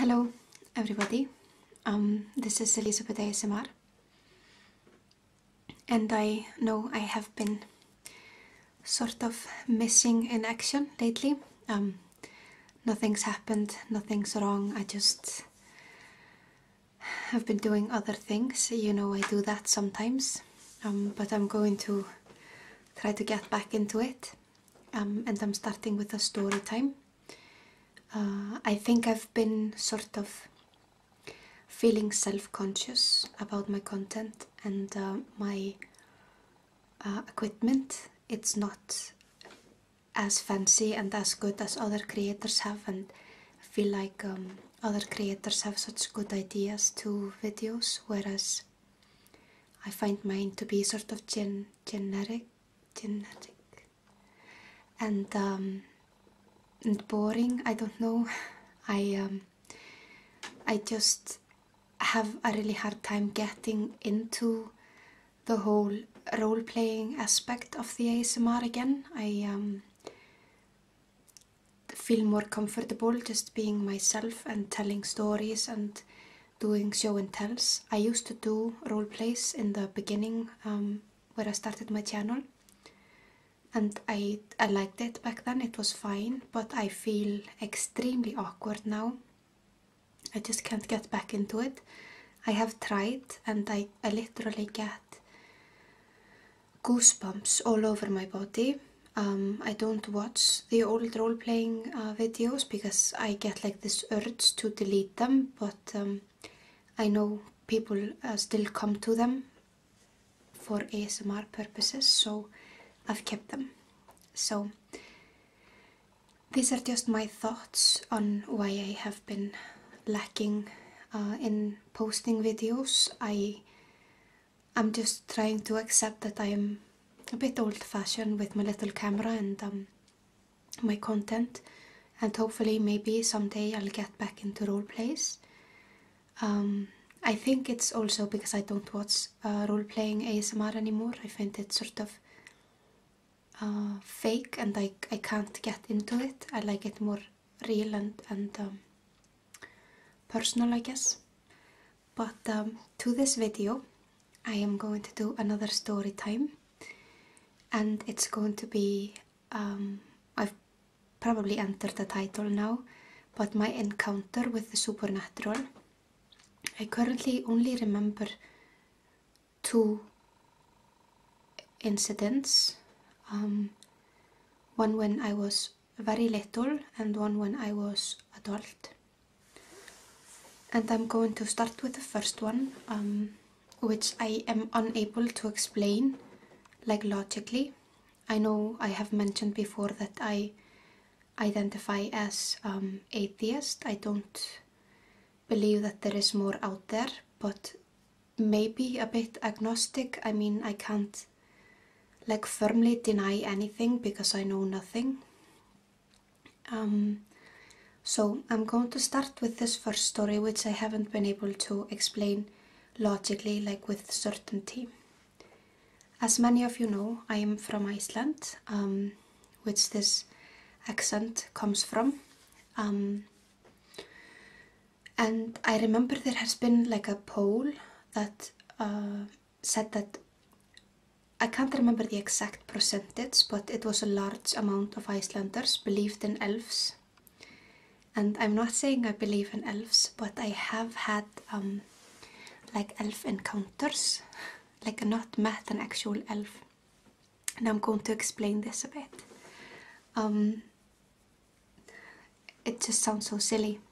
Hello everybody, um, this is Elizabeth ASMR and I know I have been sort of missing in action lately. Um, nothing's happened, nothing's wrong, I just have been doing other things, you know I do that sometimes, um, but I'm going to try to get back into it. Um, and I'm starting with a story time. Uh, I think I've been sort of feeling self-conscious about my content and uh, my uh, equipment. It's not as fancy and as good as other creators have and I feel like um, other creators have such good ideas to videos whereas I find mine to be sort of gen genetic, genetic, um, and boring. I don't know. I um, I just have a really hard time getting into the whole role playing aspect of the ASMR again. I um, feel more comfortable just being myself and telling stories and doing show and tells. I used to do role plays in the beginning um, where I started my channel, and I I liked it back then. It was fine, but I feel extremely awkward now. I just can't get back into it. I have tried, and I I literally get goosebumps all over my body um, I don't watch the old role playing uh, videos because I get like this urge to delete them, but um, I know people uh, still come to them for ASMR purposes, so I've kept them. So these are just my thoughts on why I have been lacking uh, in posting videos. I I'm just trying to accept that I'm a bit old fashioned with my little camera and um, my content, and hopefully, maybe someday I'll get back into role plays. Um, I think it's also because I don't watch uh, role playing ASMR anymore. I find it sort of uh, fake and I, I can't get into it. I like it more real and, and um, personal, I guess but um, to this video I am going to do another story time and it's going to be um, I've probably entered the title now but my encounter with the supernatural I currently only remember two incidents um, one when I was very little and one when I was adult and I'm going to start with the first one, um, which I am unable to explain, like logically. I know I have mentioned before that I identify as um, atheist. I don't believe that there is more out there, but maybe a bit agnostic. I mean, I can't like firmly deny anything because I know nothing. Um, so I'm going to start with this first story, which I haven't been able to explain logically, like with certainty. As many of you know, I am from Iceland, um, which this accent comes from. Um, and I remember there has been like a poll that uh, said that I can't remember the exact percentage, but it was a large amount of Icelanders believed in elves. And I'm not saying I believe in elves, but I have had um, like elf encounters, like not met an actual elf. And I'm going to explain this a bit. Um, it just sounds so silly,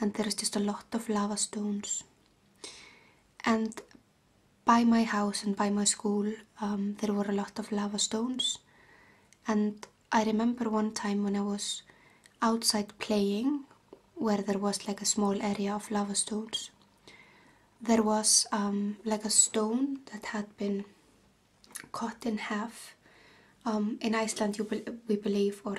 and there is just a lot of lava stones. And by my house and by my school um, there were a lot of lava stones and I remember one time when I was outside playing where there was like a small area of lava stones there was um, like a stone that had been cut in half um, in Iceland you we believe or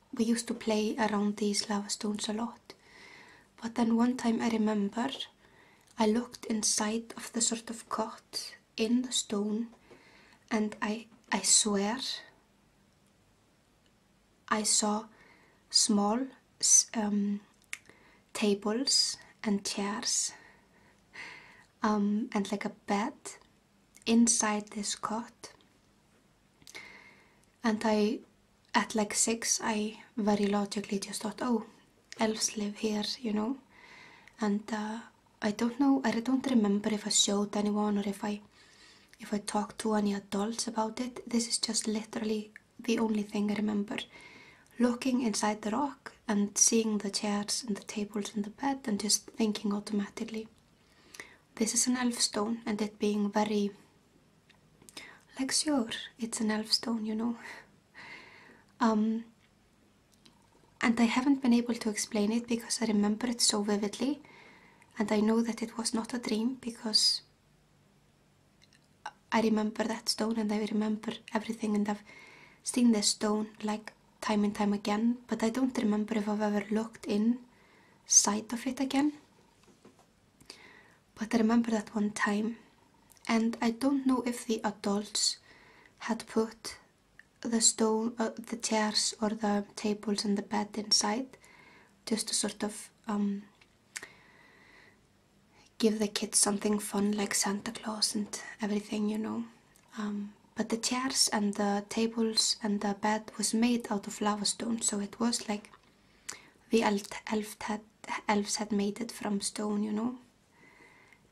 we used to play around these lava stones a lot. But then one time I remember I looked inside of the sort of cot in the stone and I, I swear I saw small um, tables and chairs um, and like a bed inside this cot and I, at like six, I very logically just thought, oh, elves live here, you know. And uh, I don't know, I don't remember if I showed anyone or if I, if I talked to any adults about it. This is just literally the only thing I remember. Looking inside the rock and seeing the chairs and the tables and the bed and just thinking automatically, this is an elf stone and it being very like sure, it's an elf stone, you know. Um, and I haven't been able to explain it because I remember it so vividly and I know that it was not a dream because I remember that stone and I remember everything and I've seen the stone like time and time again but I don't remember if I've ever looked in sight of it again. But I remember that one time, and I don't know if the adults had put the stone, uh, the chairs or the tables and the bed inside, just to sort of um, give the kids something fun like Santa Claus and everything, you know. Um, but the chairs and the tables and the bed was made out of lava stone, so it was like the elf elves had made it from stone, you know.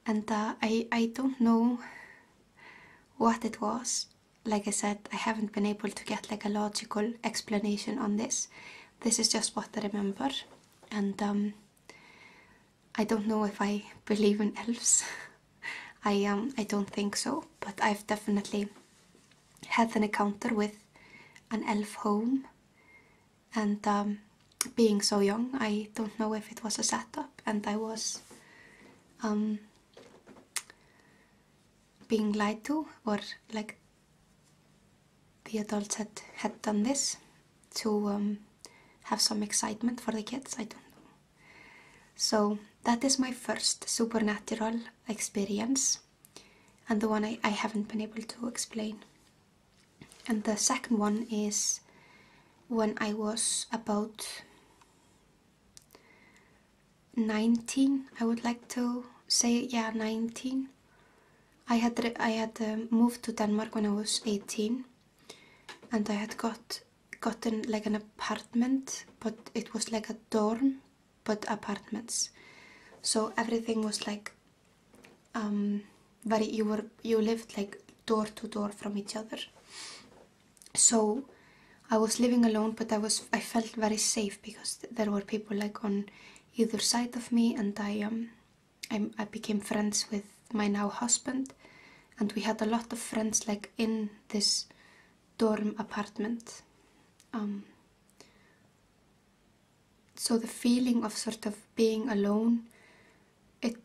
And uh, I I don't know what it was. Like I said, I haven't been able to get like a logical explanation on this. This is just what I remember, and um, I don't know if I believe in elves. I um I don't think so, but I've definitely had an encounter with an elf home, and um, being so young, I don't know if it was a setup, and I was um, being lied to, or like the adults had had done this to um, have some excitement for the kids. I don't know. So that is my first supernatural experience, and the one I, haven't been able to explain. And the second one is when I was about 19, I would like to say, yeah, 19. I had I had um, moved to Denmark when I was 18 and I had got gotten like an apartment but it was like a dorm but apartments so everything was like um very you were you lived like door to door from each other so I was living alone but I was I felt very safe because there were people like on either side of me and I um I, I became friends with my now husband and we had a lot of friends like in this dorm apartment. Um, so the feeling of sort of being alone, it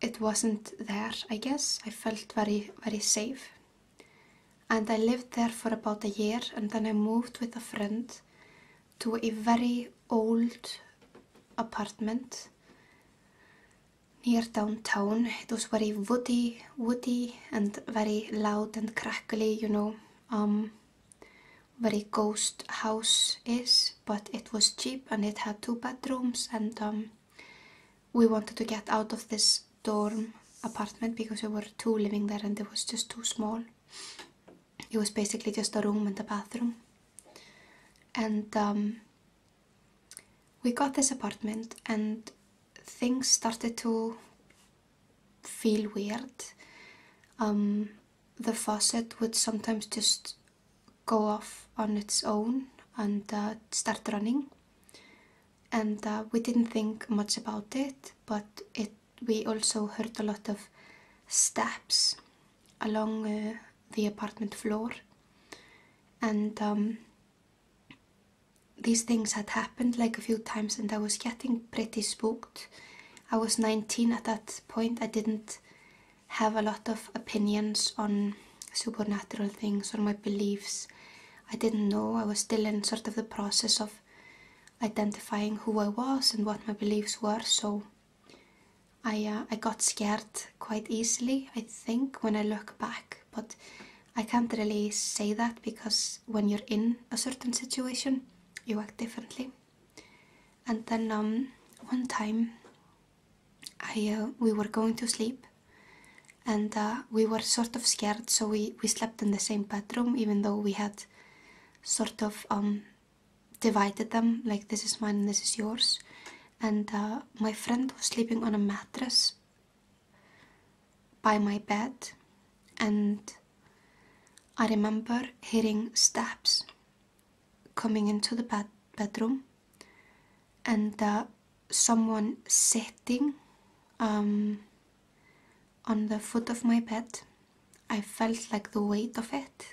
it wasn't there. I guess I felt very very safe, and I lived there for about a year, and then I moved with a friend to a very old apartment near downtown. It was very woody, woody, and very loud and crackly. You know, um, very ghost house is, but it was cheap and it had two bedrooms. And um, we wanted to get out of this dorm apartment because there were two living there and it was just too small. It was basically just a room and a bathroom. And um, we got this apartment and things started to feel weird. Um, the faucet would sometimes just go off on its own and uh, start running. And uh, we didn't think much about it, but it we also heard a lot of steps along uh, the apartment floor, and um, these things had happened like a few times and I was getting pretty spooked. I was 19 at that point. I didn't have a lot of opinions on supernatural things or my beliefs. I didn't know. I was still in sort of the process of identifying who I was and what my beliefs were. So I uh, I got scared quite easily. I think when I look back, but I can't really say that because when you're in a certain situation, you act differently. And then um, one time, I uh, we were going to sleep, and uh, we were sort of scared, so we we slept in the same bedroom, even though we had sort of um, divided them, like this is mine this is yours. And uh, my friend was sleeping on a mattress by my bed and I remember hearing steps coming into the bedroom and uh, someone sitting um, on the foot of my bed. I felt like the weight of it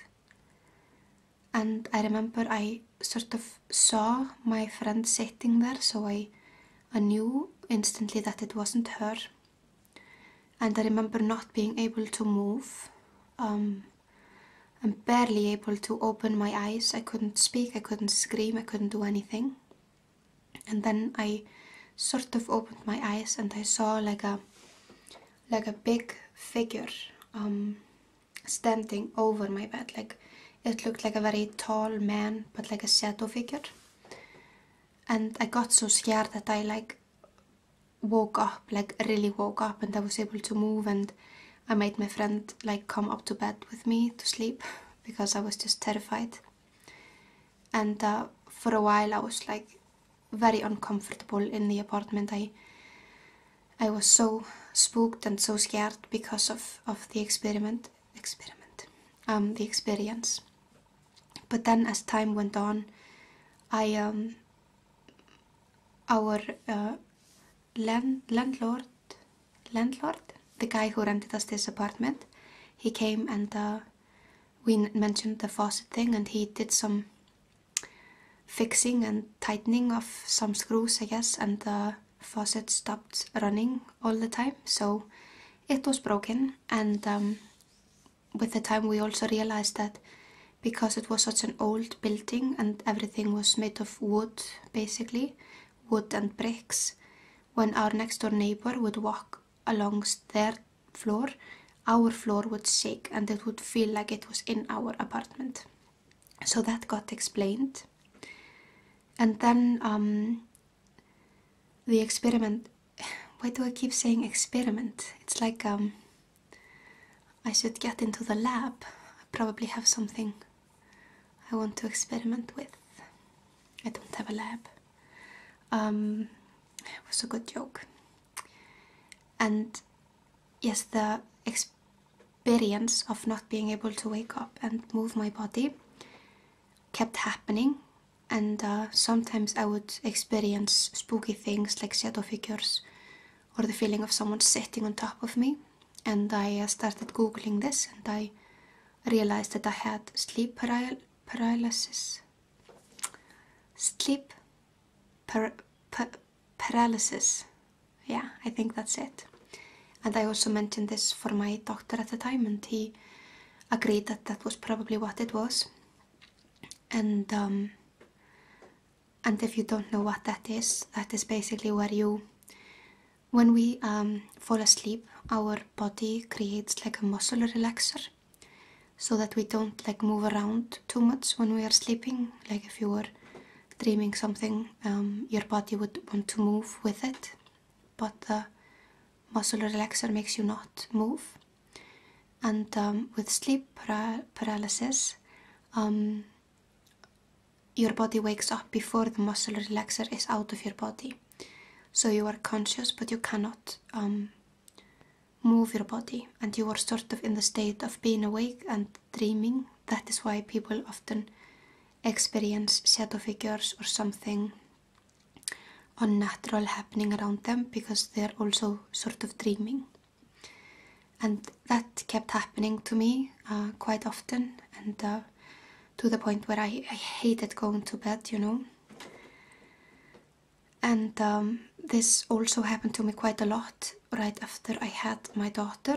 and I remember I sort of saw my friend sitting there, so I, I knew instantly that it wasn't her. And I remember not being able to move. Um, I'm barely able to open my eyes. I couldn't speak, I couldn't scream, I couldn't do anything. And then I sort of opened my eyes and I saw like a like a big figure um, standing over my bed, like it looked like a very tall man, but like a shadow figure. And I got so scared that I like woke up, like really woke up, and I was able to move. And I made my friend like come up to bed with me to sleep because I was just terrified. And uh, for a while, I was like very uncomfortable in the apartment. I I was so spooked and so scared because of, of the experiment experiment, um, the experience. But then, as time went on, I um, our uh, land landlord landlord, the guy who rented us this apartment, he came and uh, we mentioned the faucet thing, and he did some fixing and tightening of some screws, I guess, and. Uh, faucet stopped running all the time, so it was broken. And um, with the time, we also realized that because it was such an old building and everything was made of wood, basically, wood and bricks, when our next door neighbor would walk along their floor, our floor would shake and it would feel like it was in our apartment so that got explained and then um, the experiment why do i keep saying experiment it's like um, i should get into the lab i probably have something i want to experiment with i don't have a lab um, it was a good joke and yes the ex experience of not being able to wake up and move my body kept happening and uh, sometimes I would experience spooky things like shadow figures or the feeling of someone sitting on top of me and I uh, started googling this and I realized that I had sleep paralysis sleep paralysis yeah, I think that's it. And I also mentioned this for my doctor at the time, and he agreed that that was probably what it was. And um, and if you don't know what that is, that is basically where you, when we um, fall asleep, our body creates like a muscle relaxer, so that we don't like move around too much when we are sleeping. Like if you were dreaming something, um, your body would want to move with it, but the muscle relaxer makes you not move. And um, with sleep paralysis, um, your body wakes up before the muscle relaxer is out of your body. So you are conscious, but you cannot move your body, and you are sort of in the state of being awake and dreaming, that is why people often experience shadow figures or something unnatural happening around them because they're also sort of dreaming. And that kept happening to me uh, quite often and uh, to the point where I, hated going to bed, you know. And um, this also happened to me quite a lot right after I had my daughter.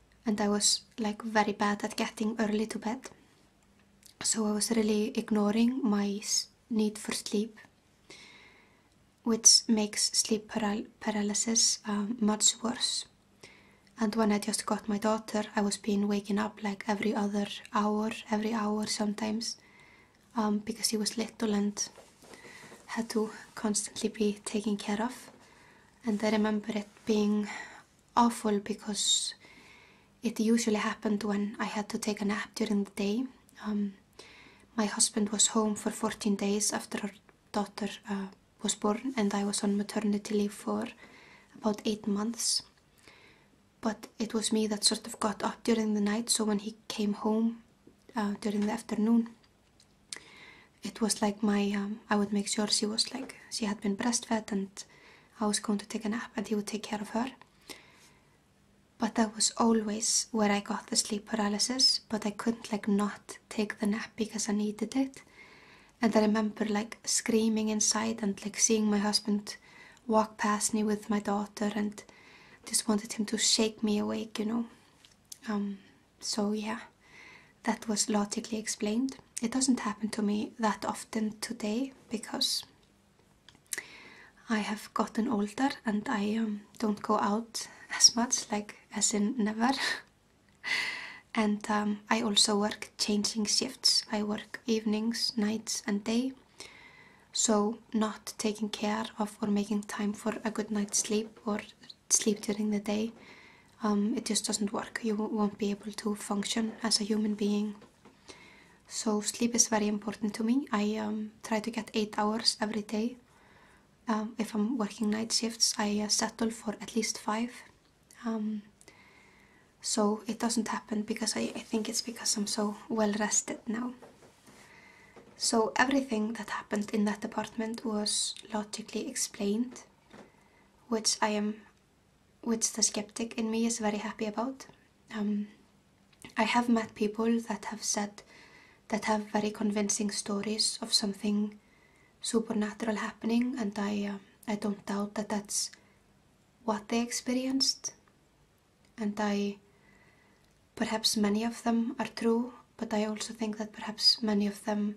and I was like very bad at getting early to bed. So I was really ignoring my need for sleep, which makes sleep paralysis um, much worse. And when I just got my daughter, I was being waking up like every other hour, every hour sometimes, um, because he was little and had to constantly be taken care of. And I remember it being awful because it usually happened when I had to take a nap during the day. Um, my husband was home for 14 days after our daughter uh, was born, and I was on maternity leave for about eight months. But it was me that sort of got up during the night, so when he came home uh, during the afternoon, it was like my um, I would make sure she was like she had been breastfed and I was going to take a nap and he would take care of her. But that was always where I got the sleep paralysis, but I couldn't like not take the nap because I needed it. And I remember like screaming inside and like seeing my husband walk past me with my daughter and just wanted him to shake me awake, you know. Um, so, yeah, that was logically explained. It doesn't happen to me that often today because I have gotten older and I um, don't go out as much, like as in never. and um, I also work changing shifts. I work evenings, nights, and day. So, not taking care of or making time for a good night's sleep or sleep during the day, um, it just doesn't work. You won't be able to function as a human being. So sleep is very important to me. I um, try to get eight hours every day. Um, if I'm working night shifts, I uh, settle for at least five. so it doesn't happen because I think it's because I'm so well rested now. So everything that happened in that apartment was logically explained which I am, which the skeptic in me is very happy about. Um, I have met people that have said that have very convincing stories of something supernatural happening, and I uh, I don't doubt that that's what they experienced, and I perhaps many of them are true, but I also think that perhaps many of them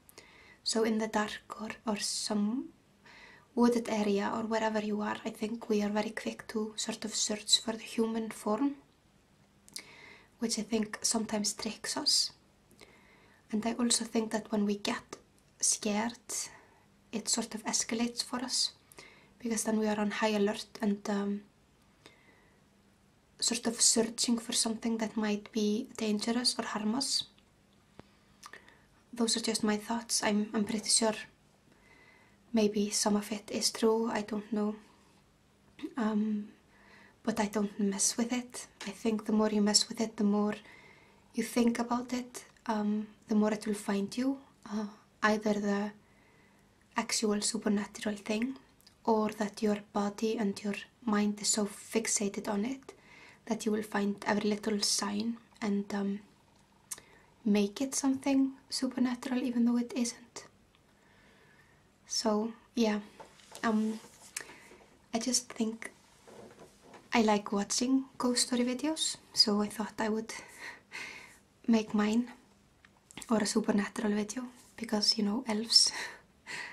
So in the dark or, some wooded area or wherever you are, I think we are very quick to sort of search for the human form, which I think sometimes tricks us. And I also think that when we get scared, it sort of escalates for us because then we are on high alert and um, sort of searching for something that might be dangerous or harm Those are just my thoughts. I'm, I'm pretty sure maybe some of it is true, I don't know. Um, but I don't mess with it. I think the more you mess with it, the more you think about it, um, the more it will find you. Uh, either the actual supernatural thing or that you're body and your mind is so fixated on it that you will find every little sign and um, make it something supernatural even though it isn't. So, yeah, um, I just think I like watching ghost story videos, so I thought I would make mine or a supernatural video because you know elves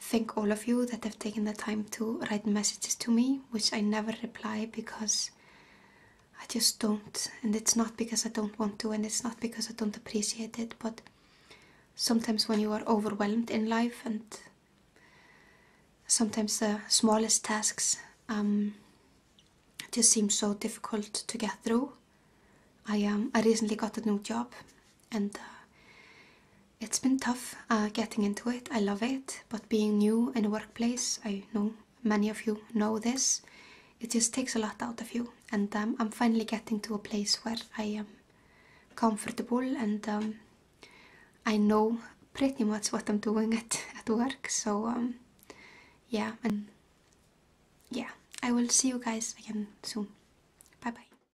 thank all of you that have taken the time to write messages to me, which I never reply because I just don't. And it's not because I don't want to, and it's not because I don't appreciate it, but sometimes when you are overwhelmed in life and sometimes the smallest tasks um, just seem so difficult to get through. I um, I recently got a new job and uh, it's been tough uh, getting into it. I love it, but being new in a workplace, I know many of you know this, it just takes a lot out of you. And um, I'm finally getting to a place where I am comfortable and um, I know pretty much what I'm doing at, at work. So, um, yeah, and yeah, I will see you guys again soon. Bye bye.